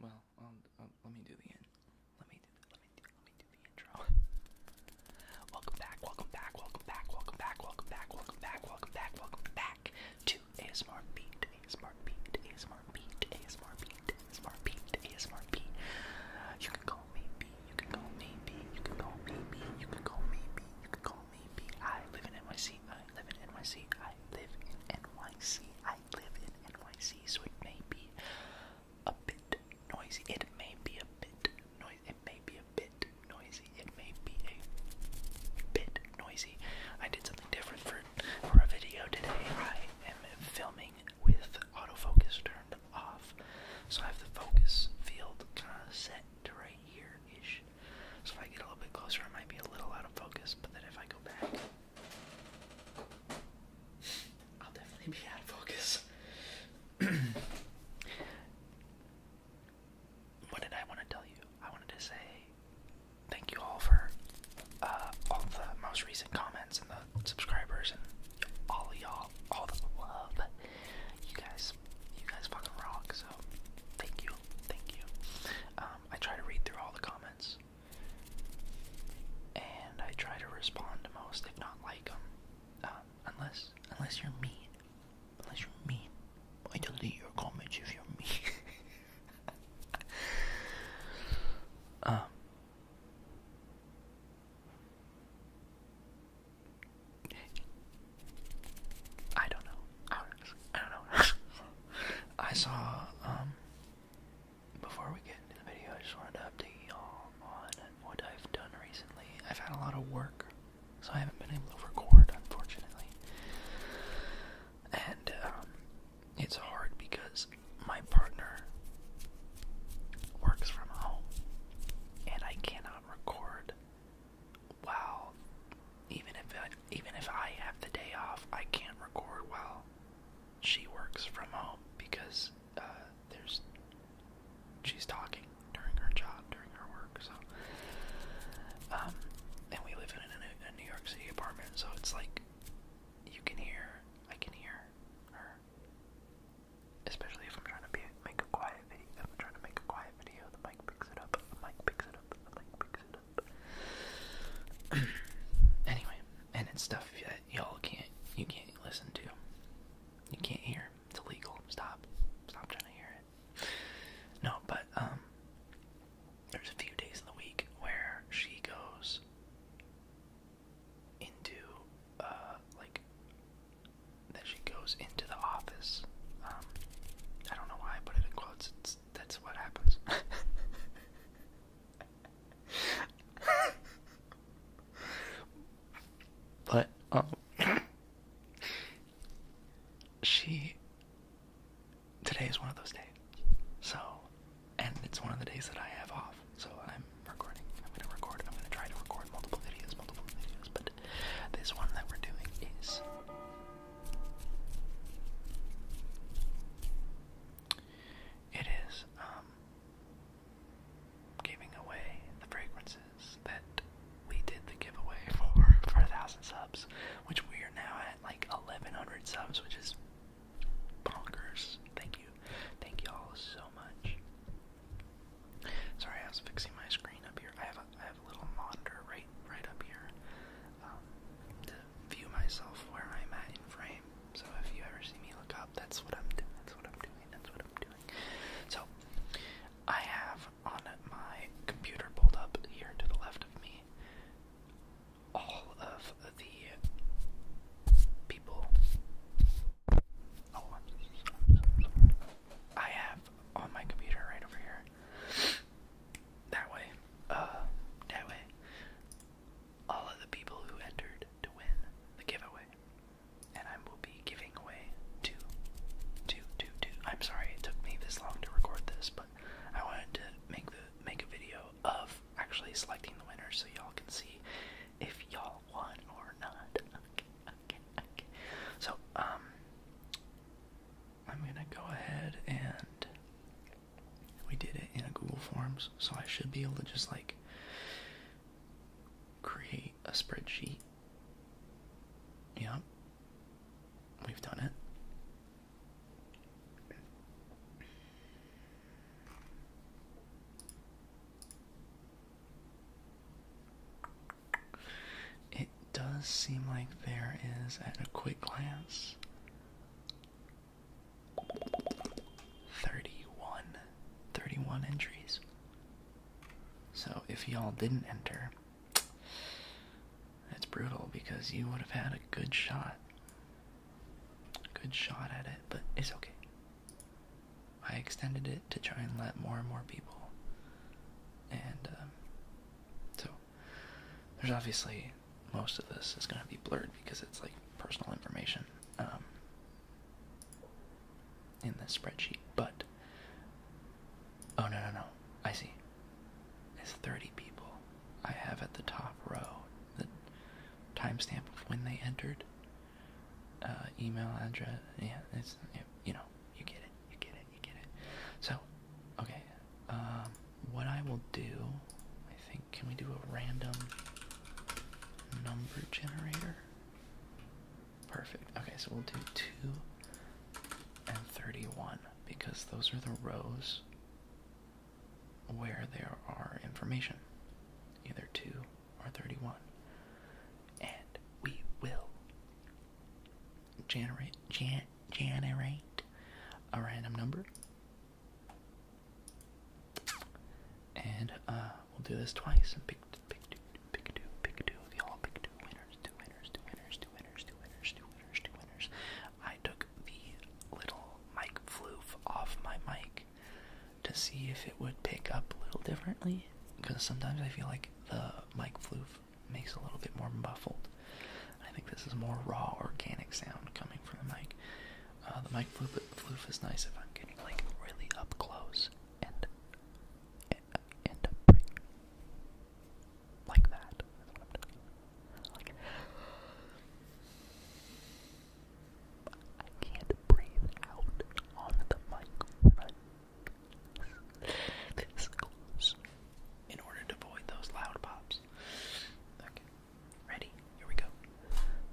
Well, um, um, let me do the end. Let Let me do the intro. welcome back. Welcome back. Welcome back. Welcome back. Welcome back. Welcome back. Welcome back. Welcome back to ASMR Beat. ASMR Beat. ASMR Beat. ASMR Beat. ASMR Beat. ASMR Beat. You can call me B. You can call me B. You can call me B. You can call me B. You can call maybe I live in NYC. I live in NYC. I live in NYC. I live in NYC. So it may be a bit noisy. It may be a bit noisy. It may be a bit noisy. It may be a bit noisy. I did something different for for a video today. I am filming with autofocus turned off, so I have the focus field kind of set to right here ish. So if I get a little bit closer, I might be a little out of focus, but then if I go back, I'll definitely be out of focus. what did I want to tell you? I wanted to say thank you all for uh, all the most recent comments and the subscribers and all y'all, all the love. You guys, you guys fucking rock. So thank you, thank you. Um, I try to read through all the comments, and I try to respond to most, if not like them, um, unless unless you're mean. Unless you're mean, I delete your comments if you're mean. um. I don't know. I don't know. I saw, um, before we get into the video, I just wanted to update y'all on what I've done recently. I've had a lot of work, so I haven't been able to record, unfortunately. And, um, it's hard because my partner works from home, and I cannot record wow, even if even if I have the day off, I can't record while she works from home because uh, there's she's talking during her job, during her work. So, um, and we live in a, New York City apartment, so it's like you can hear, I can hear her, especially if I'm trying to be make a quiet video. I'm trying to make a quiet video, the mic picks it up. The mic picks it up. The mic picks it up. anyway, and it's stuff that y'all can't you can't listen to. You can't hear. It's illegal. Stop. Stop trying to hear it. No, but um there's a few days in the week where she goes into uh like then she goes into the office. Um I don't know why I put it in quotes. It's that's what happens. but um, she today is one of those days. So, and it's one of the days that I have off. So I'm recording. I'm gonna record. I'm gonna try to record multiple videos, multiple videos. But this one that we're doing is it is um, giving away the fragrances that we did the giveaway for for a thousand subs, which we are now at like eleven hundred subs, which is bonkers. Thank you, thank you all so much. Sorry, I was fixing my screen up here. I have I have a little monitor right right up here um, to view myself where I'm at in frame. So if you ever see me look up, that's what I'm doing. That's what I'm doing. That's what I'm doing. So I have on my computer pulled up here to the left of me all of the people. Oh, I have on my computer right over here that way, uh, that way, all of the people who entered to win the giveaway. And I will be giving away two, two, two, two. I'm sorry it took me this long to record this, but I wanted to make the make a video of actually selecting the winner so y'all can see if y'all won or not. Okay, okay, okay. So, um, I'm gonna go ahead and we did it in a Google Forms, so I should be able to just like create a spreadsheet. Yeah, we've done it does seem like there is at a quick glance. 31 entries. So if y'all didn't enter, it's brutal because you would have had a good shot. a Good shot at it, but it's okay. I extended it to try and let more and more people. And um, so there's obviously most of this is going to be blurred because it's like personal information um, in this spreadsheet. But oh no no no, I see. It's 30 people. I have at the top row the timestamp of when they entered, uh, email address. Yeah, it's you know you get it, you get it, you get it. So, okay, um, what I will do, I think, can we do a random number generator? Perfect. Okay, so we'll do two and thirty-one because those are the rows where there are information, either two or thirty-one, and we will generate gen, generate a random number and uh, we'll do this twice and pick pick two pick two pick two of y'all pick two winners two winners two winners two winners two winners two winners two winners I took the little mic floof off my mic to see if it would pick up a little differently because sometimes I feel like the mic floof makes a little bit more muffled. I think this is more raw, organic sound coming from the mic. Uh, the mic floof, is nice if I'm getting like really up close and and, and like that. i can't breathe out on the mic this close in order to avoid those loud pops. Okay, ready? Here we go.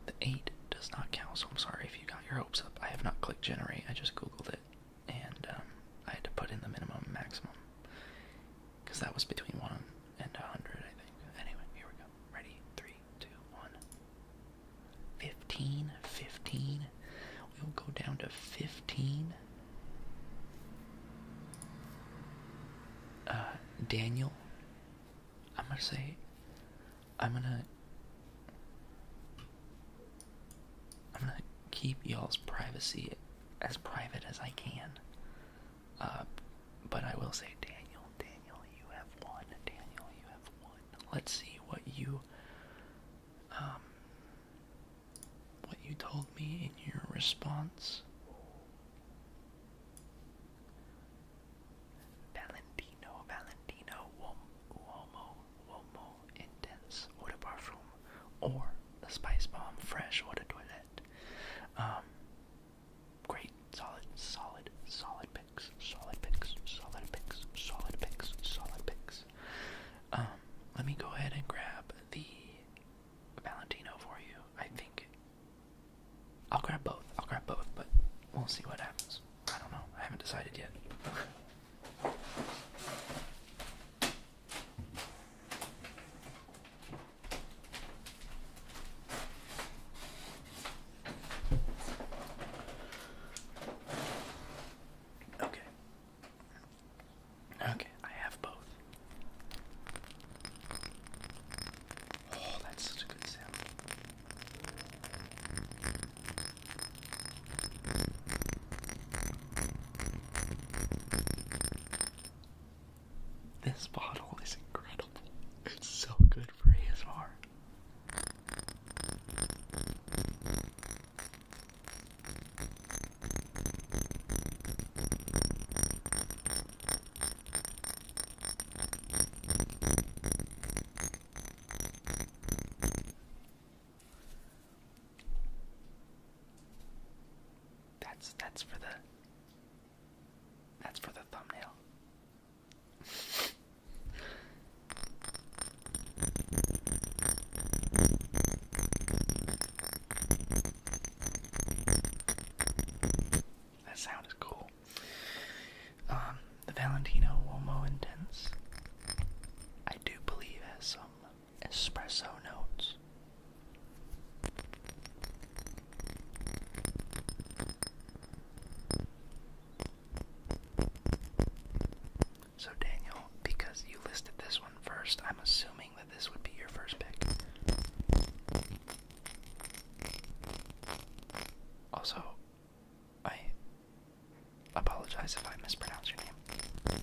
The 8 does not count, so I'm sorry if you got your hopes up. I have not clicked generate, I just googled it, and um, I had to put in the minimum and maximum, because that was between 1 and 100, I think. Anyway, here we go. Ready? 3, 2, 15, 15. We will go down to 15. Uh, Daniel. I'm gonna say, I'm gonna, I'm gonna keep y'all's privacy as private as I can. Uh, but I will say, Daniel, Daniel, you have won. Daniel, you have won. Let's see what you, um, what you told me in your response. Valentino, Valentino, Uomo, Uomo, Intense, Eau de Parfum, or the Spice Bomb Fresh Eau de Toilette. Um, great, solid, solid, solid picks, solid picks, solid picks, solid picks, solid picks. Um, let me go ahead and grab the Valentino for you. I think I'll grab both. I'll grab both, but we'll see what happens. I don't know. I haven't decided yet. Okay. Okay, I have both. Oh, that's such a good sound. This bottle is incredible. It's so good for his heart. That's that's for the That's for the thumbnail. That sound is cool. Um, the Valentino Uomo Intense, I do believe, has some espresso notes. So, Daniel, because you listed this one first, I'm assuming that this would be your first pick. Also, I apologize if I mispronounce your name.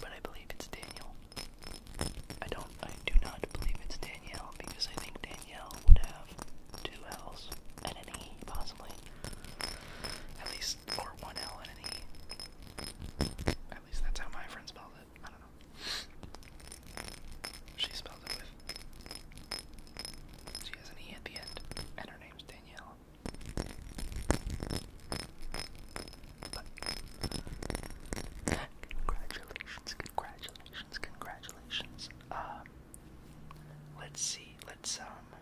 But I believe it's Daniel. I don't I do not believe it's Danielle because I think Danielle would have two L's and an E possibly. At least it's one L and an E. At least that's how my friend spelled it. I don't know. She spelled it with. She has an E at the end, and her name's Danielle. But, congratulations, congratulations, congratulations. Um, let's see, let's, um,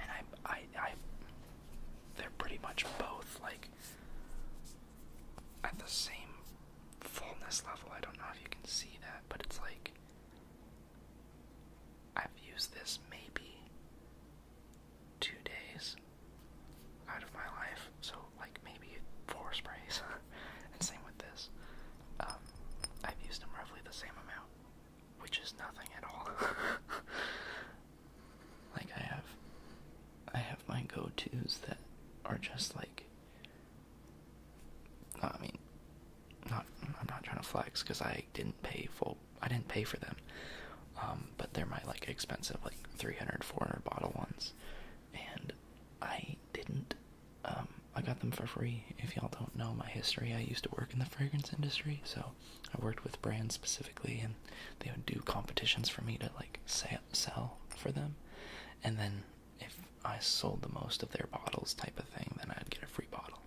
and I, I, I, they're pretty much both like at the same fullness level. I don't know if you can see that, but it's like I've used this maybe two days, out of my life. So like maybe four sprays. and same with this. Um, I've used them roughly the same amount, which is nothing at all. like I have, I have my go-tos that are just like. I mean, not I'm not trying to flex because I didn't pay full. I didn't pay for them, um, but they're my like expensive like 300, 400 bottle ones, and I didn't. Um, I got them for free. If y'all don't know my history, I used to work in the fragrance industry, so I worked with brands specifically, and they would do competitions for me to like sell for them. And then if I sold the most of their bottles, type of thing, then I'd get a free bottle.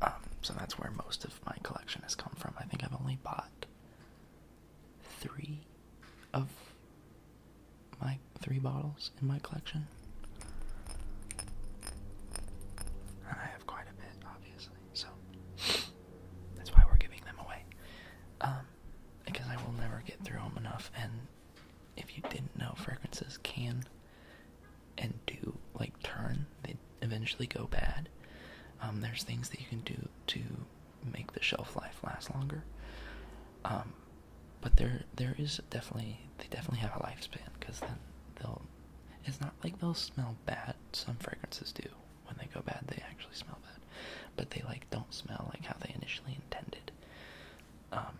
Um, so that's where most of my collection has come from. I think I've only bought three of my three bottles in my collection. And I have quite a bit, obviously, so that's why we're giving them away. Um, because I will never get through them enough, and if you didn't know, fragrances can and do like turn, they eventually go bad. Um, there's things that you can do to make the shelf life last longer. Um, but there, there is definitely they definitely have a lifespan because then they'll. It's not like they'll smell bad. Some fragrances do. When they go bad, they actually smell bad, but they like don't smell like how they initially intended. Um,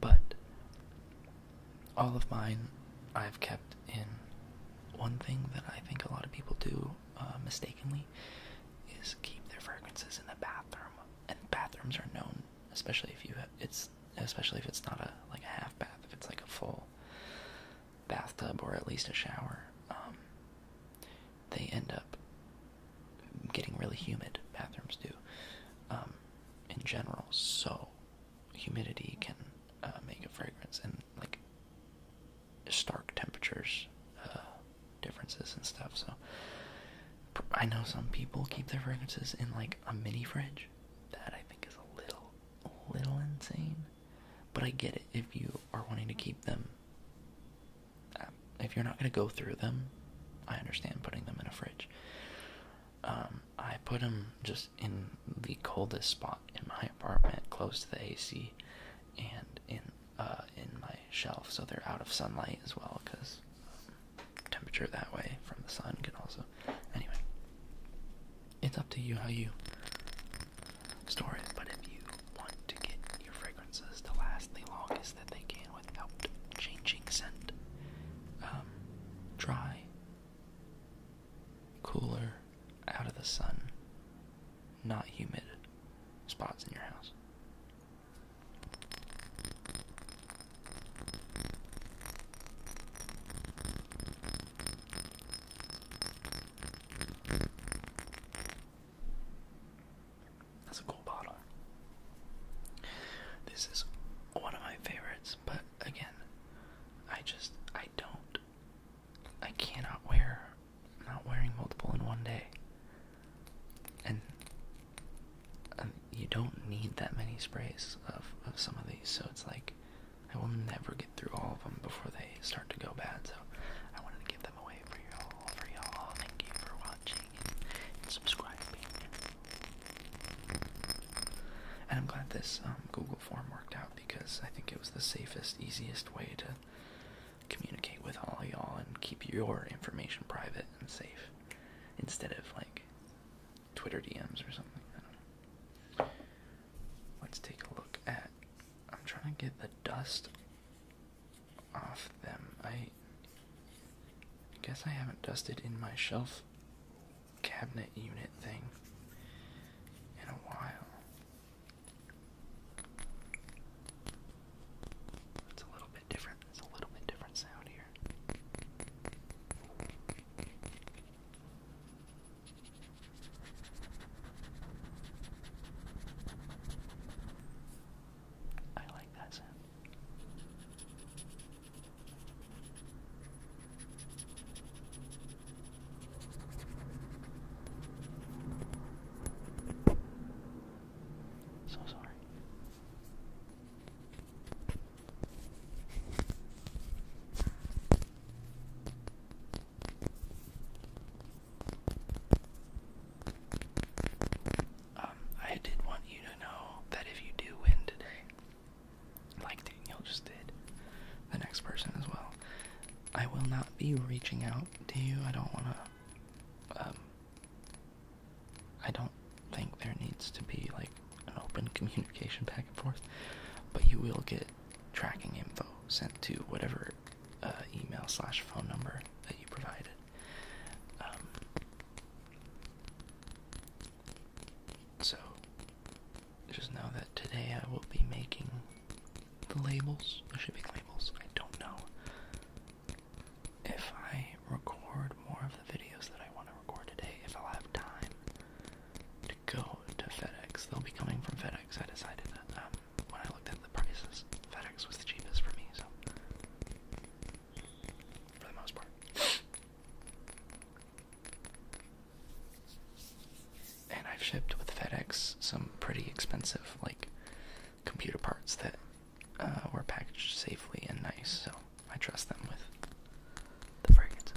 but all of mine, I've kept in. One thing that I think a lot of people do uh, mistakenly is keep their fragrances in the bathroom, and bathrooms are known, especially if you have, it's especially if it's not a like a half bath, if it's like a full bathtub or at least a shower. Um, they end up getting really humid. Bathrooms do, um, in general. So humidity can uh, make a fragrance, and like stark temperatures uh, differences and stuff. So I know some people keep their fragrances in like a mini fridge. That I think is a little, little insane. But I get it if you are wanting to keep them. Uh, if you're not gonna go through them, I understand putting them in a fridge. Um, I put them just in the coldest spot in my apartment, close to the AC, and in uh, in my shelf, so they're out of sunlight as well because um, temperature that way from the sun can also. Anyway, it's up to you how you store it, but if you want to get your fragrances to last the longest that they can without changing scent, um, dry, cooler, out of the sun, not humid spots in your house. That's a cool bottle. This is one of my favorites, but again, I just I don't I cannot wear not wearing multiple in one day. And um, you don't need that many sprays of, of some of these, so it's like I will never get through all of them before they start to go bad. So I wanted to give them away for y'all, for y'all. Thank you for watching and, subscribing. And I'm glad this um, Google form worked out because I think it was the safest, easiest way to communicate with all y'all and keep your information private and safe instead of like Twitter DMs or something. Let's take a look at. I'm trying to get the dust off them. I guess I haven't dusted in my shelf cabinet unit thing in a while. It's a little bit different. It's a little bit different sound here. I like that sound. So sorry. Um, I did want you to know that if you do win today, like Daniel just did, the next person as well, I will not be reaching out do you. I don't want to. Um, I don't think there needs to be like an open communication back and forth, but you will get tracking info sent to whatever uh, email slash phone number that you provided. Um, so just know that today I will be making the labels, the shipping labels. I don't know if I record more of the videos that I want to record today, if i have time to go to FedEx. They'll be coming from FedEx. I decided that um, when I looked at the prices, FedEx was the cheapest for me, so for the most part and I've shipped with FedEx some pretty expensive like computer parts that uh, were packaged safely and nice, so I trust them with the fragrance.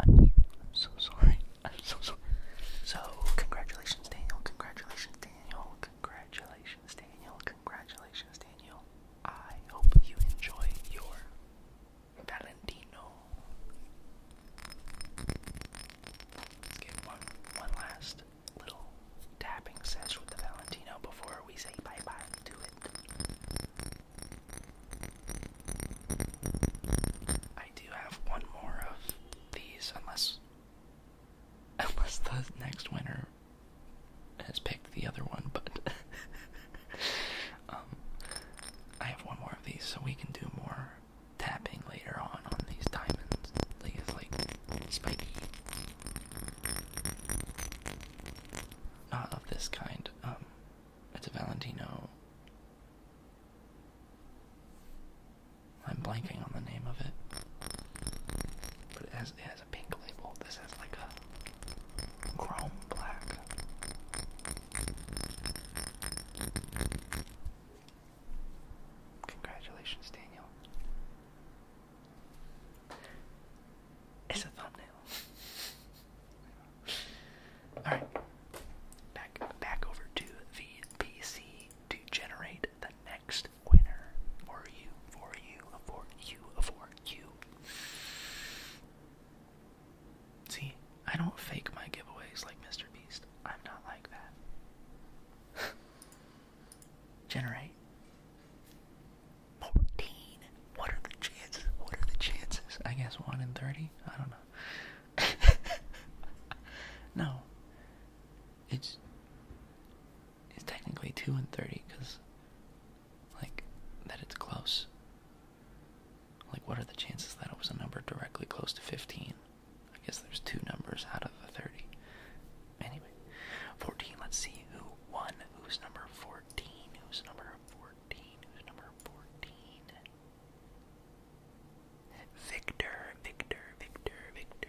I'm so sorry. I'm so sorry. So, congratulations, Daniel. Congratulations, Daniel. Congratulations, Daniel. Congratulations, Daniel. I hope you enjoy your Valentino. Let's get one, one last little tapping session with the Valentino before we say bye to it. I do have one more of these, unless Unless the next winner has picked the other one, but um, I have one more of these, so we can do more tapping later on on these diamonds. Like it's like spiky, not of this kind. Um, it's a Valentino. I'm blanking on the name of it. But it has it has a pink label. This has like a chrome black. Congratulations, Daniel. It's a thumbnail. Alright. Back back over to the PC to generate the next winner for you, for you, for you, for you. See, I don't fake my giveaways like Mr. Beast. I'm not like that. Generate. 14. What are the chances? What are the chances? I guess 1 in 30? I don't know. no. It's is technically 2 and 30 because, like, that it's close. Like, what are the chances that it was a number directly close to 15? I guess there's two numbers out of the 30. Anyway, 14, let's see who won. Who's number 14? Who's number 14? Who's number 14? Victor, Victor, Victor, Victor,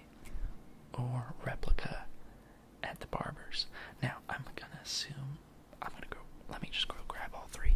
or replica at the barber's. Now, I'm gonna assume. I'm gonna go. Let me just go grab all three.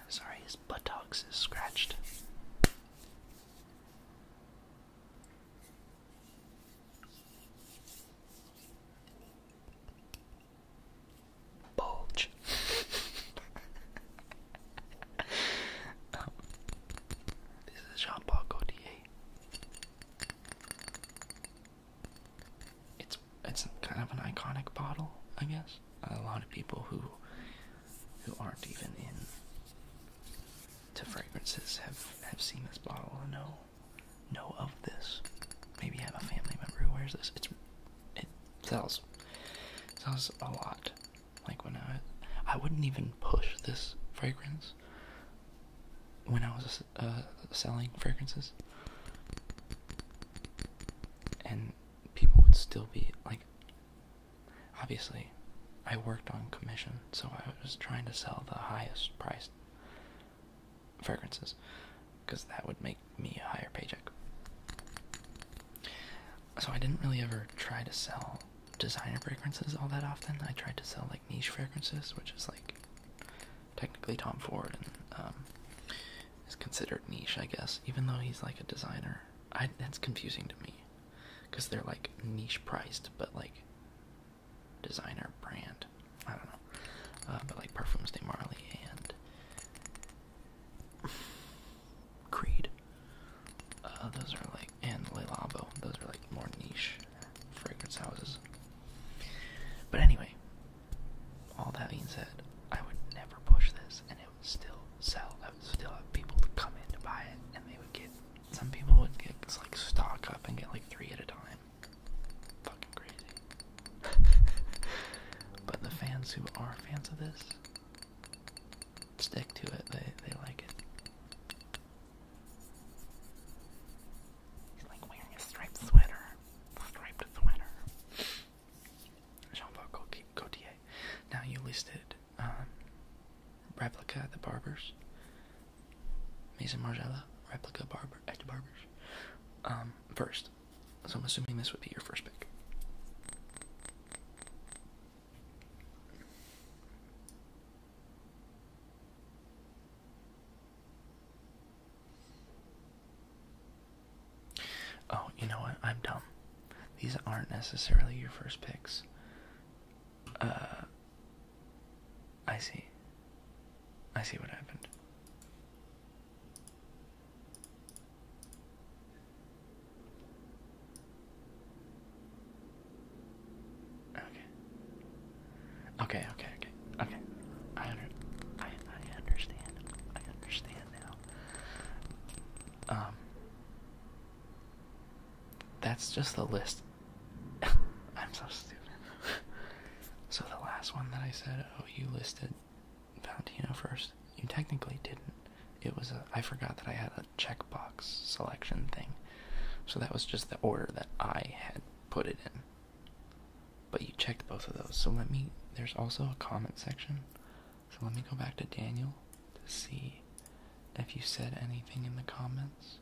I'm sorry, his buttocks is scratched. Bulge. this is Jean Paul Gaultier. It's it's kind of an iconic bottle, I guess a lot of people who who aren't even in to fragrances have have seen this bottle and know know of this. Maybe I have a family member who wears this. it sells sells a lot. Like when I I wouldn't even push this fragrance when I was uh, selling fragrances. And people would still be like, Obviously, I worked on commission, so I was trying to sell the highest priced fragrances because that would make me a higher paycheck. So I didn't really ever try to sell designer fragrances all that often. I tried to sell like niche fragrances, which is like technically Tom Ford and um, is considered niche, I guess, even though he's like a designer that's confusing to me because they're like niche priced, but like designer brand. I don't know. Uh, but like Perfumes de Marley and Creed. Uh, those are like, and Le Those are like more niche fragrance houses. But anyway, all that being said, I would never push this and and would still sell. I would still have people to come in to buy it, and they would get. Some people would get like stock up and get like three at a time. Fucking crazy. but the fans who are fans of this stick to it. They they like it. He's like wearing a striped sweater. Striped sweater. Jean-Paul Gaultier. Now you listed um, replica the barbers. Mason Margiela, replica barber at barbers. Um, first. So I'm assuming this would be your first pick. Oh, you know what? I'm dumb. These aren't necessarily your first picks. Uh, I see. I see what happened. Okay. Okay, okay, okay, I, under I, I understand. I understand now. Um, that's just the list. I'm so stupid. so the last one that I said, oh, you listed Valentino first. You technically didn't. It was a, I forgot that I had a checkbox selection thing. So that was just the order that I had put it in. But you checked both of those. So let me, there's also a comment section so let me go back to Daniel to see if you said anything in the comments.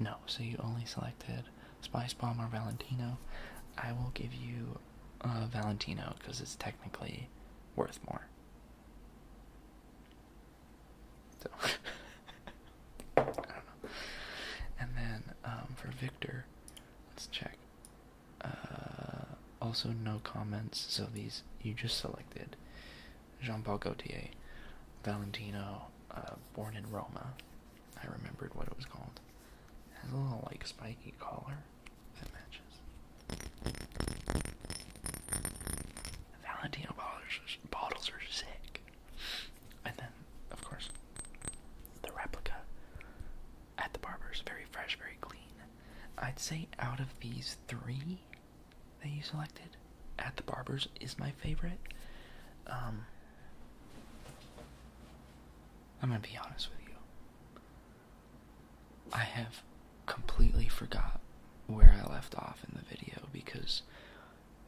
No, so you only selected Spice Bomb or Valentino. I will give you uh, Valentino because it's technically worth more. So, I don't know. And then um, for Victor, let's check. Uh, also no comments. So these you just selected Jean-Paul Gaultier, Valentino, uh, born in Roma. I remembered what it was called. It has a little like spiky collar that matches. Valentino bottles are sick. And then, of course, the replica at the barber's very fresh, very clean. I'd say out of these three, that you selected at the barbers is my favorite. Um, I'm gonna be honest with you. I have completely forgot where I left off in the video because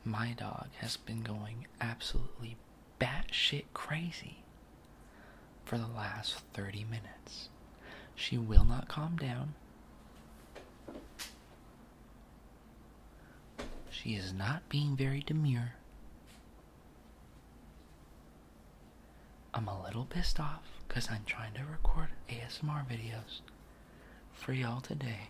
my dog has been going absolutely bat shit crazy for the last 30 minutes. She will not calm down. She is not being very demure. I'm a little pissed off because I'm trying to record ASMR videos for y'all today.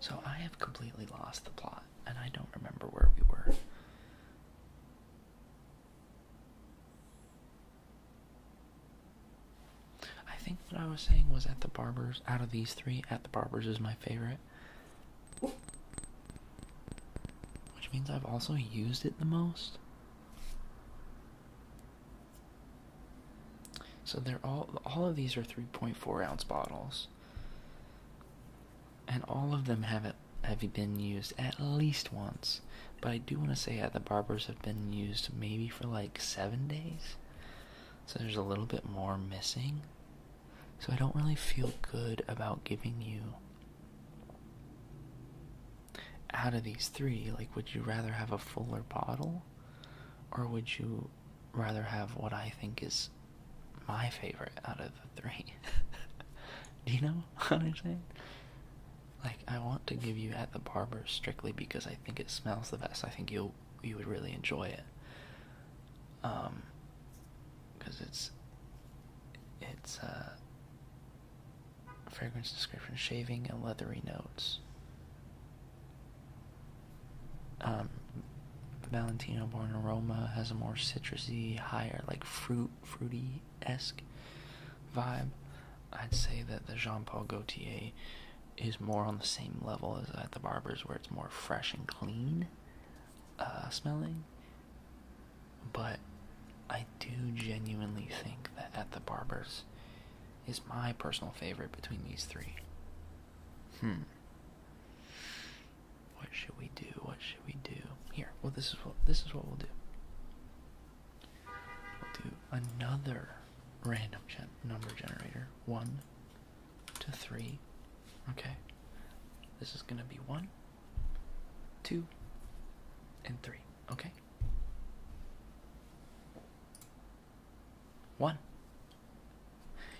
So I have completely lost the plot, and I don't remember where we were. I think what I was saying was at the barber's, out of these three, at the barber's is my favorite. Which means I've also used it the most. So they're all all of these are 3.4 ounce bottles. And all of them have it have been used at least once. But I do want to say that uh, the barbers have been used maybe for like seven days. So there's a little bit more missing. So I don't really feel good about giving you out of these three, like would you rather have a fuller bottle? Or would you rather have what I think is my favorite out of the three. Do you know what I'm saying? Like I want to give you at the barber strictly because I think it smells the best. I think you you would really enjoy it. Um, because it's it's a uh, fragrance description shaving and leathery notes um, Valentino Born Aroma has a more citrusy, higher, like fruit, fruity esque vibe. I'd say that the Jean Paul Gaultier is more on the same level as at the Barber's, where it's more fresh and clean uh, smelling. But I do genuinely think that at the Barber's is my personal favorite between these three. Hmm. What should we do? What should we do? Here. Well, this is what this is what we'll do. We'll do another random gen number generator. One to three. Okay. This is gonna be one, two, and three. Okay. One.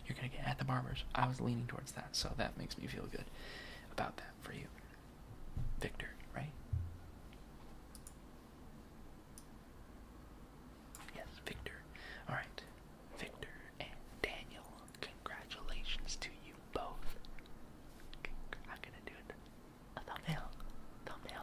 You're gonna get at the barbers. I was leaning towards that, so that makes me feel good about that for you. Victor, right? Yes, Victor. Alright. Victor and Daniel, congratulations to you both. I'm going do it. thumbnail. Thumbnail.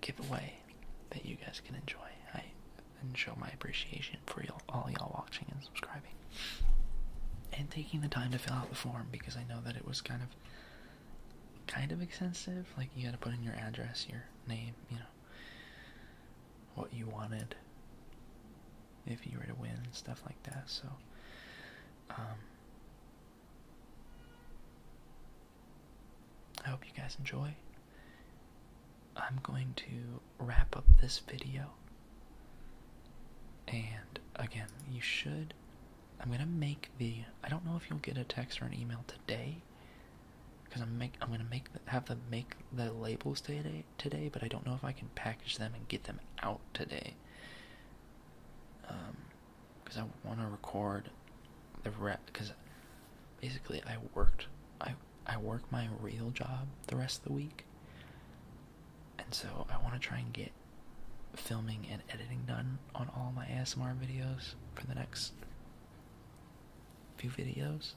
giveaway that you guys can enjoy. I and show my appreciation for all y'all watching and subscribing and taking the time to fill out the form because I know that it was kind of kind of extensive. Like you had to put in your address, your name, you know, what you wanted if you were to win stuff like that. So um, I hope you guys enjoy. I'm going to wrap up this video. And again, you should. I'm gonna make the. I don't know if you'll get a text or an email today, because I'm make. I'm gonna make have them make the labels today. Today, but I don't know if I can package them and get them out today. Um, because I want to record the rep. Because basically I worked I I work my real job the rest of the week. And so I want to try and get filming and editing done on all my ASMR videos for the next few videos.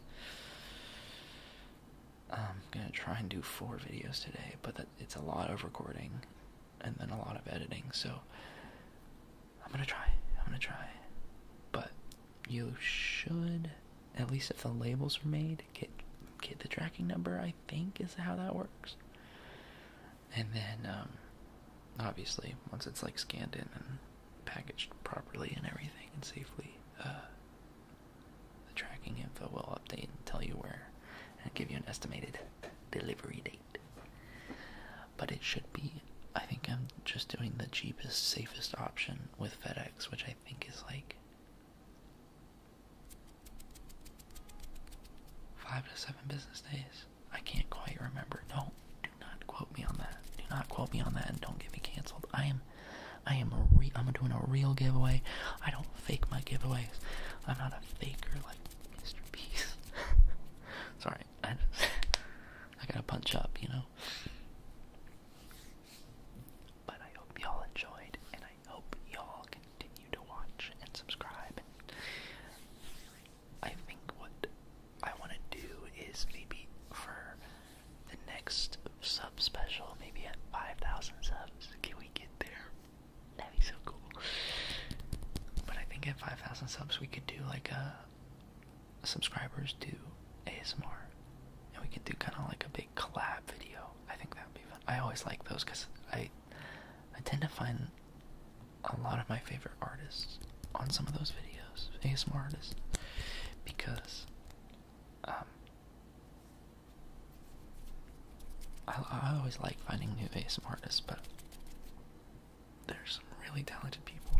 I'm going to try and do four videos today, but it's a lot of recording and then a lot of editing. So I'm gonna try. I'm gonna try. But you should, at least if the labels are made, get get the tracking number. I think is how that works. And then, um, obviously, once it's like scanned in and packaged properly and everything and safely, uh, the tracking info will update and tell you where and give you an estimated delivery date but it should be. I think I'm just doing the cheapest, safest option with FedEx, which I think is like five to seven business days. I can't quite remember. No, do not quote me on that. Do not quote me on that, and don't get me canceled. I am, I am real. I'm doing a real giveaway. I don't fake my giveaways. I'm not a faker like Mr. Peace. Sorry, I gotta punch up, you know? But I hope y'all enjoyed, and I hope y'all continue to watch and subscribe. I think what I want to do is maybe for the next sub special, maybe at 5,000 subs, can we get there? That'd be so cool. But I think at 5,000 subs, we could do like a subscribers do ASMR, and we could do kind of like a big collab video. I think that would be fun. I always like those because I I tend to find a lot of my favorite artists on some of those videos, ASMR artists, because um, I, I always like finding new ASMR artists, but there's some really talented people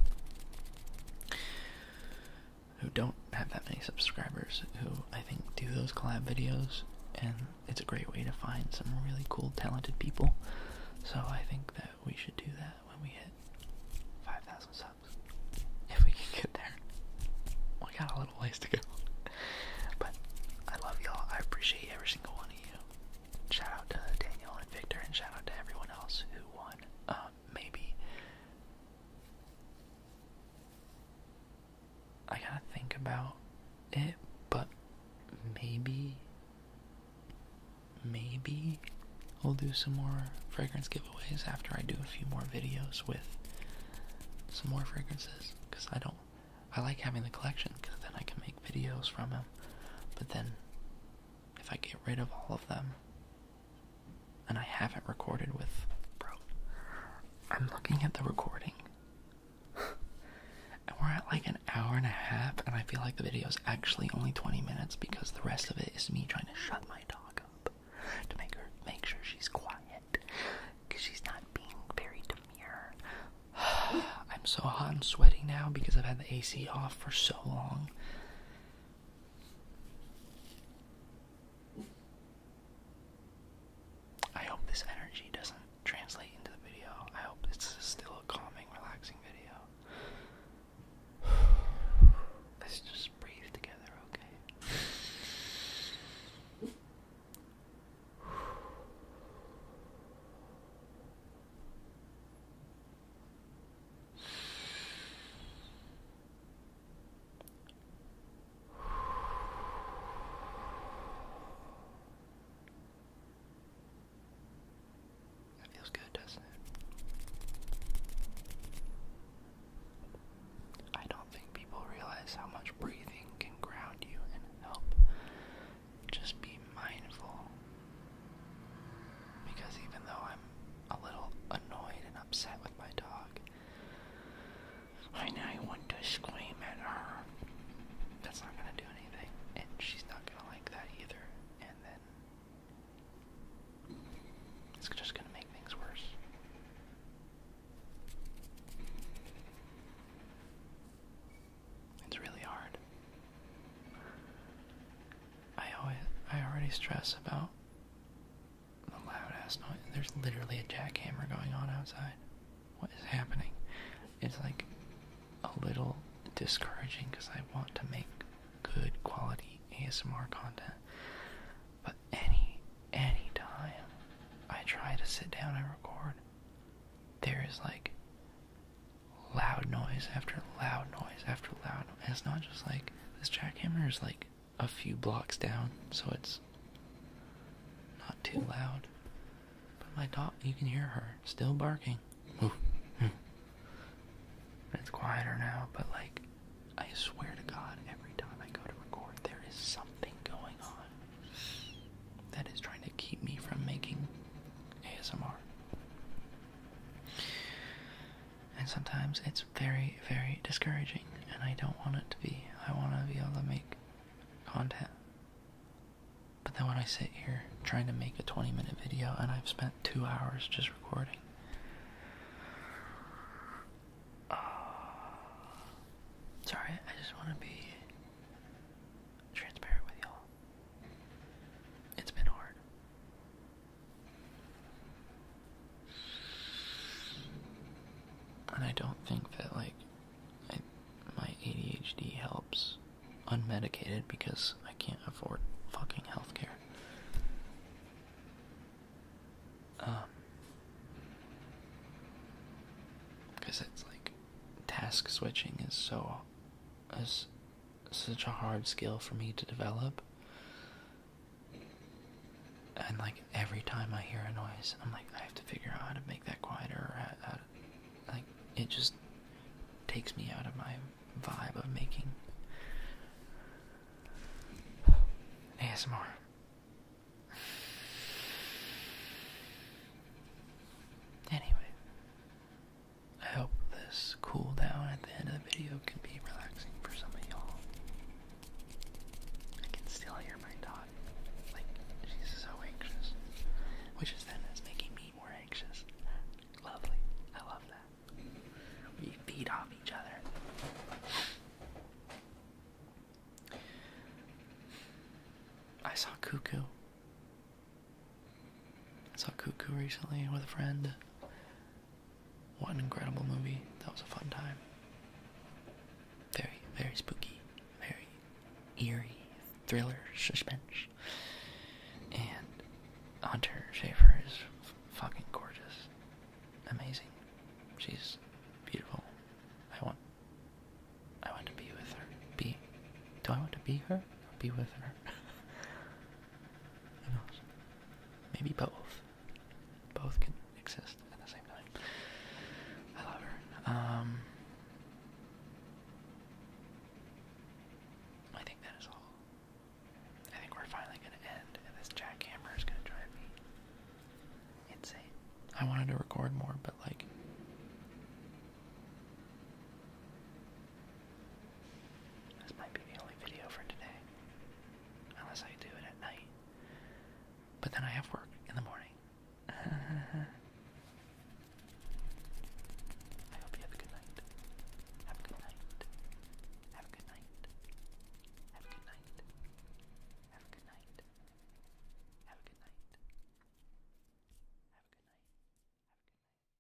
who don't have that many subscribers who I think do those collab videos, and it's a great way to find some really cool, talented people. So I think that we should do that when we hit 5,000 subs. If we can get there, we got a little ways to go. But I love y'all. I appreciate every single one of you shout out to Daniel and Victor, and shout out to everyone else who won. Um, maybe I gotta think about it, but maybe, maybe we'll do some more fragrance giveaways after I do a few more videos with some more fragrances. Cause I don't, I like having the collection, cause then I can make videos from them. But then if I get rid of all of them. And I haven't recorded with. Bro, I'm looking at the recording. and we're at like an hour and a half, and I feel like the video is actually only 20 minutes because the rest of it is me trying to shut my dog up to make her make sure she's quiet because she's not being very demure. I'm so hot and sweating now because I've had the AC off for so long. I hope this energy doesn't translate into the video. I hope it's still a calming, relaxing video. Let's just breathe together, okay? That feels good, doesn't it? I don't think people realize how much breathing can ground you and help. Just be mindful because even though I'm a little annoyed and upset with my dog, I now want to scream at her. That's not gonna do anything, and she's not gonna like that either. And then it's just gonna make things worse. It's really hard. I always I already stress about the loud ass noise. There's literally a jackhammer going on outside. What is happening? It's like a little discouraging because I want to make good quality ASMR content. But any any time I try to sit down and record, there is like loud noise after loud noise after loud it's not just like this jackhammer is like a few blocks down, so it's not too loud. But my dog, you can hear her still barking. It's quieter now, but like, I swear to God, every time I go to record, there is something going on that is trying to keep me from making ASMR. And sometimes it's very, very discouraging, and I don't want it to be. I want to be able to make content. But then when I sit here trying to make a 20 minute video and I've spent two hours just recording, sorry, I just want to be transparent with y'all. It's been hard. And I don't think that, like, my ADHD helps unmedicated because I can't afford fucking healthcare. because um, it's like task switching is so is such a hard skill for me to develop. And like every time I hear a noise, I'm like, I have to figure out how to make that quieter. Or how, to, like it just takes me out of my vibe of making ASMR. Anyway, I hope this cool down at the end of the video can be relaxing for some of y'all. I can still hear my dog. Like, she's so anxious. Which is then is making me more anxious. Lovely. I love that. We feed off each other. I saw Cuckoo. I saw Cuckoo recently with a friend. What an incredible movie. That was a fun time. Very, very spooky, very eerie thriller suspense. And Hunter Schafer is fucking gorgeous. Amazing. She's beautiful. I want I want to be with her. Be do I want to be her be with her? Maybe both. Both can exist at the same time. I love her. Um, I think that is all. I think we're finally going to end, and this jackhammer is going to drive me insane. I wanted to record more, but like. This might be the only video for today. Unless I do it at night. But then I have work in the morning. I hope you have a good night. Have a good night. Have a good night. Have a good night. Have a good night. Have a good night. Have a good night. Have a good night.